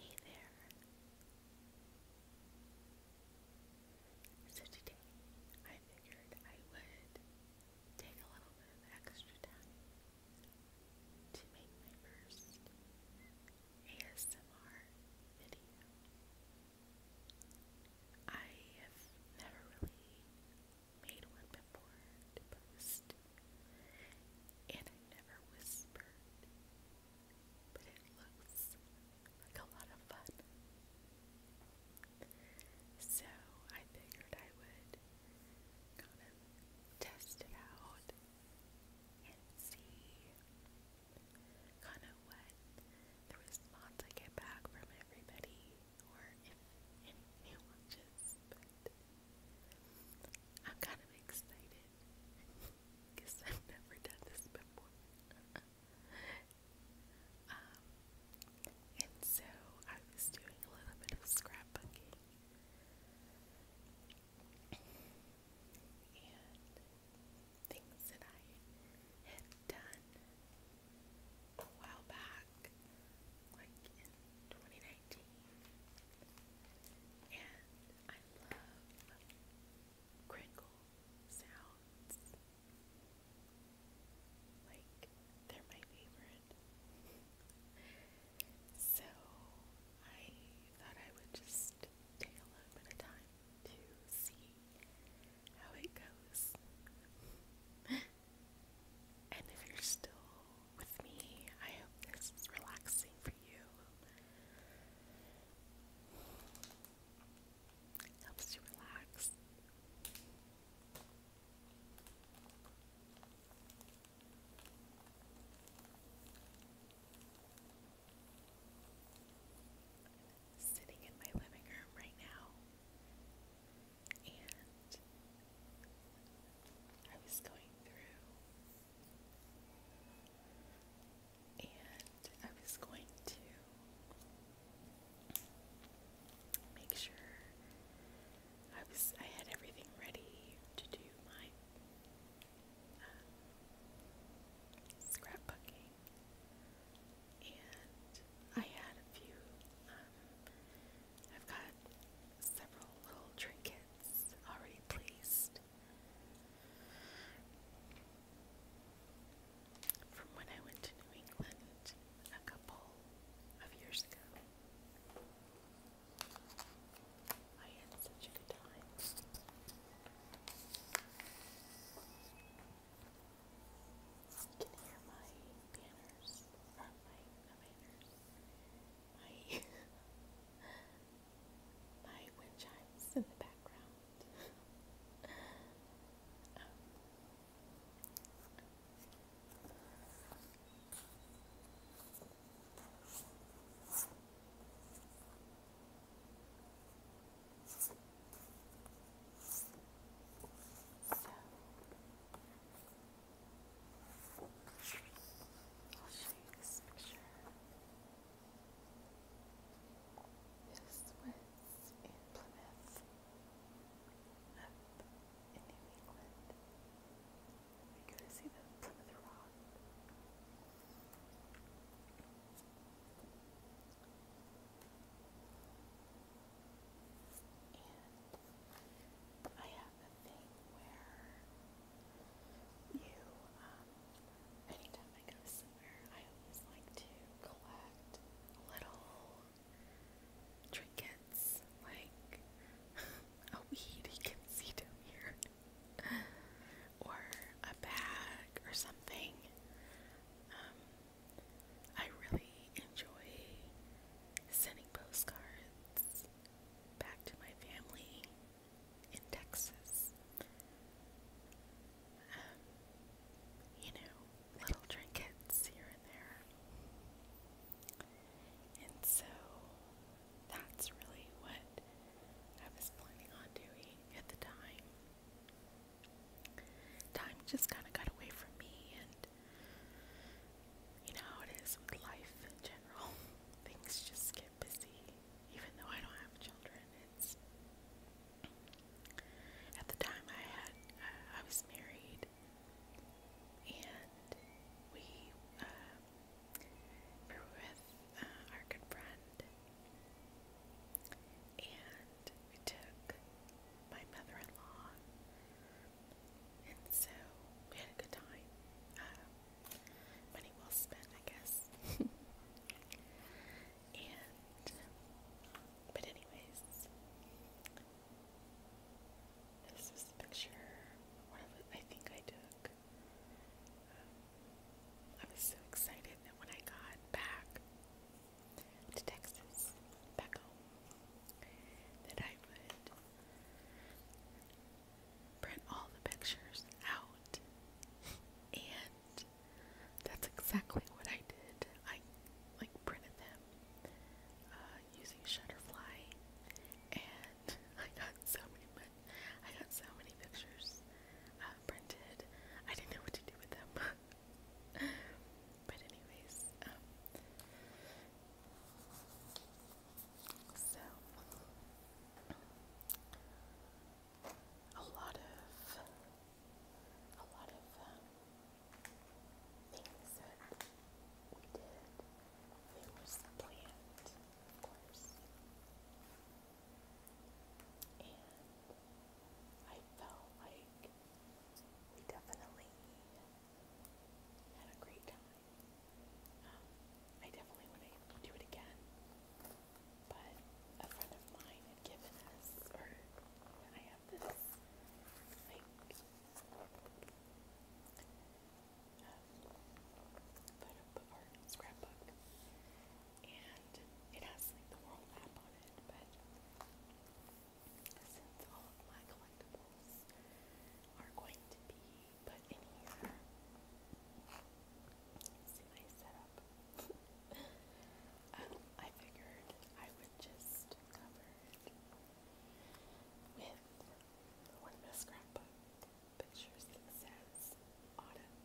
Hey there. So today I figured I would take a little bit of extra time to make my first ASMR video. I have never really made one been born and I never whispered, but it looks like a lot of fun. So I figured I would kind of test it out and see kind of what the response I get back from everybody or if anyone I'm kind of excited because I've never done this before. um, and so I was doing a little bit of scrapbooking. And things that I had done a while back, like in 2019, and I love crinkle sounds. Like, they're my favorite. so, I thought I would just take a little bit of time to see how it goes. and if you're still with me. I hope this is relaxing for you. helps you relax. Sitting in my living room right now, and I was going through, and I was going to make sure I was I had everything ready to do my uh, scrapbooking, and I had a few um, I've got several little trinkets already placed from when I went to New England a couple of years ago. I had such a good time. You can my banners, or my, banners, my my wind chimes in the background. um, so I'll show you this picture. This was in Plymouth, up in New England. You can see the Plymouth Rock. And I have thing where you, um, anytime I go somewhere, I always like to collect little trinkets, like a weed you can see down here, or a bag or something. Um, I really enjoy sending postcards back to my family in Texas. Um, you know, little trinkets here and there. And so that's really what I was planning on doing at the time. Time just kind of got away from me, and you know how it is with life in general. Things just get busy. Even though I don't have children, it's at the time I had uh, I was married, and we were uh, with uh, our good friend, and we took my mother-in-law, and so we had a good time. Money well spent, I guess. and, but anyways, this was a picture, one of I think I took. Um, I was so excited that when I got back to Texas, back home, that I would print all the pictures out. And that's exactly what I did. I like printed them uh, using Shutterfly, and I got so many. I got so many pictures uh, printed. I didn't know what to do with them. but anyways, um, so, a lot of a lot of um, things that we did, they planned, of course, and I felt like we definitely had a great time. Um, I definitely want do it again. But a friend of mine had given us, or I have this, like, um, scrapbook. And it has, like, the world map on it, but since all of my collectibles are going to be put in here. See my setup. Um, I figured I would just cover it with one of the scrapbook pictures that says autumn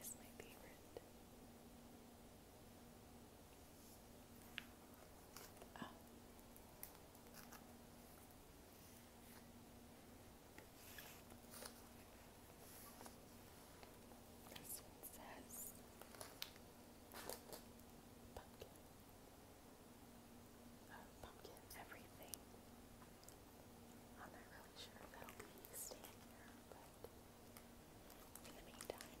is my favorite. Um, this one says oh, pumpkin. everything. I'm not really sure that'll be staying here, but in the meantime.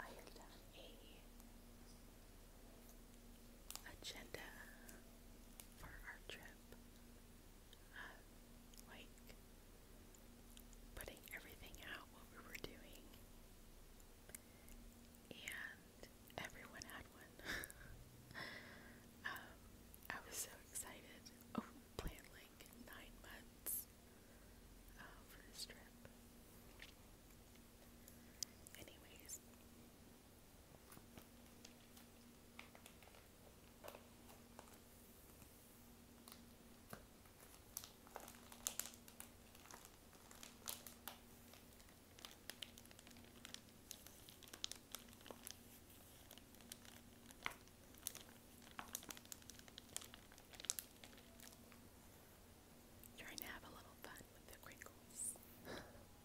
I have done a agenda for our trip. Uh, putting everything out, what we were doing. And everyone had one. um, I was so excited. Oh, planned nine months uh, for this trip. Anyways. Trying to have a little fun with the crinkles.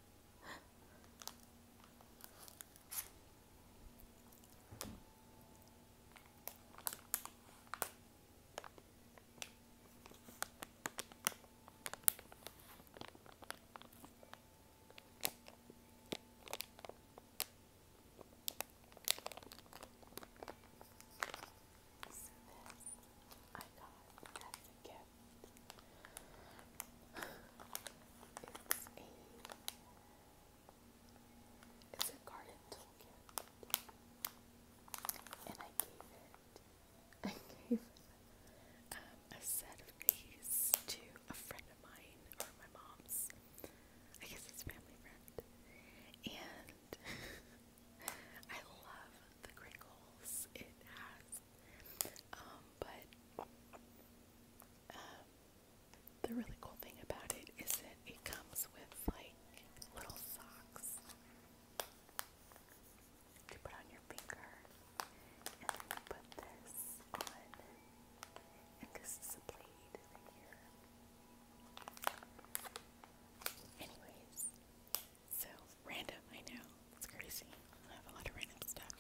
So this I got as a gift. It's a it's a garden toolkit. And I gave I gave a set of these to a friend of mine or my mom's. I guess it's family friend. And I love the crinkles it has. Um, but um, the really cool thing about it is that it comes with like little socks to put on your finger, and put this on, and this is a blade in here. Anyways, so random, I know. It's crazy. I have a lot of random stuff.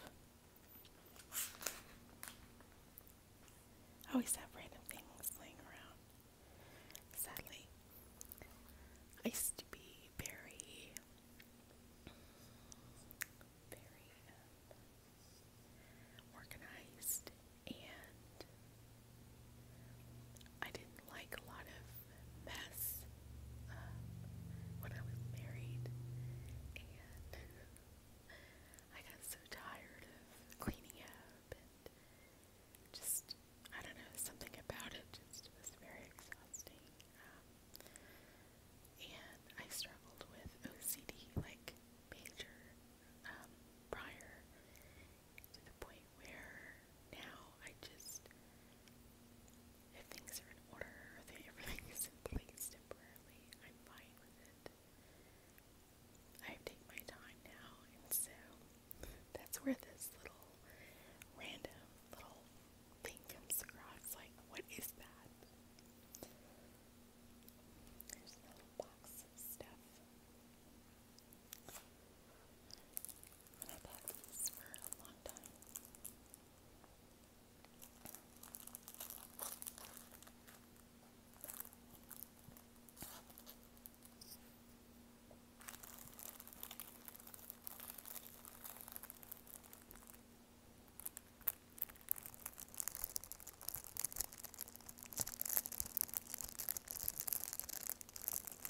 I always have random things laying around. Sadly. I used to be very very um, organized and I didn't like a lot of mess uh, when I was married, and I got so tired of cleaning up and just, I don't know, something about it just was very exhausting. Um, and I struggled with OCD, like major um, prior, to the point where now I just, if things are in order, or everything is in place temporarily, I'm fine with it. I take my time now, and so that's where this little random little thing comes across. Like, what is that? There's a little box of stuff. And I've had these for a long time.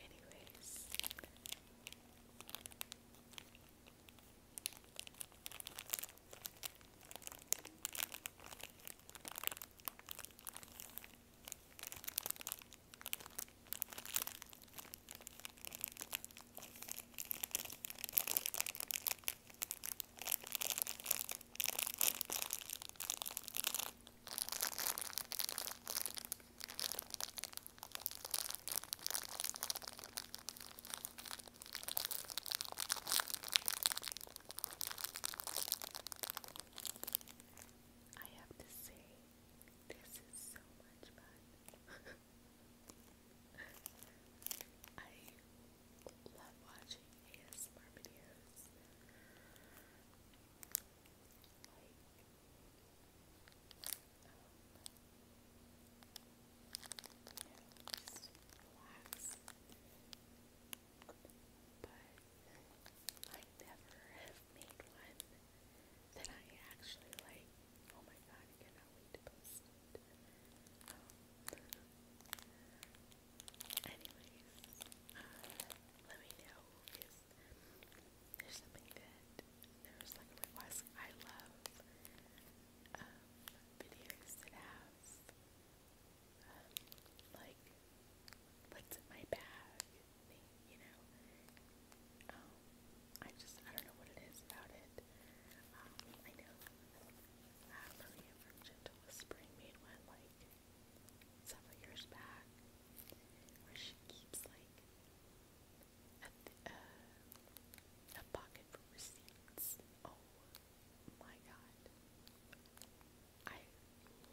Anyways. I have to say, this is so much fun. I love watching ASMR videos just relax. But I never have made one that I actually like. Oh my god, I cannot wait to post it. Um, Anyways, let me know because there's something that there's like a I love videos that have like what's in my bag you know. I just I don't know what it is about it. I know uh, Maria Gentle Whispering made one like several years back where she keeps like a, uh, receipts. Oh my god. I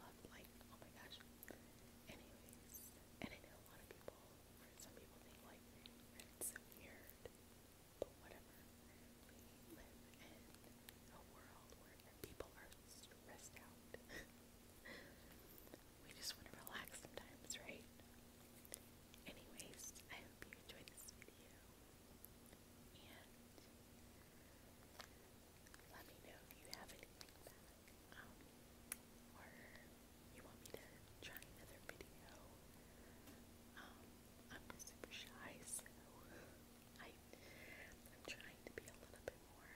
love like oh my gosh. Anyways, and I know a lot of people or some people think like it's so weird. But whatever a world where people are stressed out. we just want to relax sometimes, right? Anyways, I hope you enjoyed this video. And let me know if you have anything back. Um, or you want me to try another video. Um, I'm just super shy, so I, am trying to be a little bit more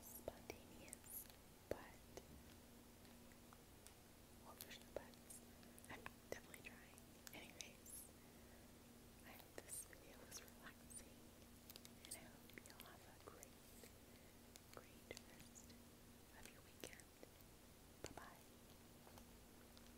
spontaneous, but well, there's I'm definitely trying. Anyways, I hope this video was relaxing, and I hope you'll have a great, great rest of your weekend. Bye bye.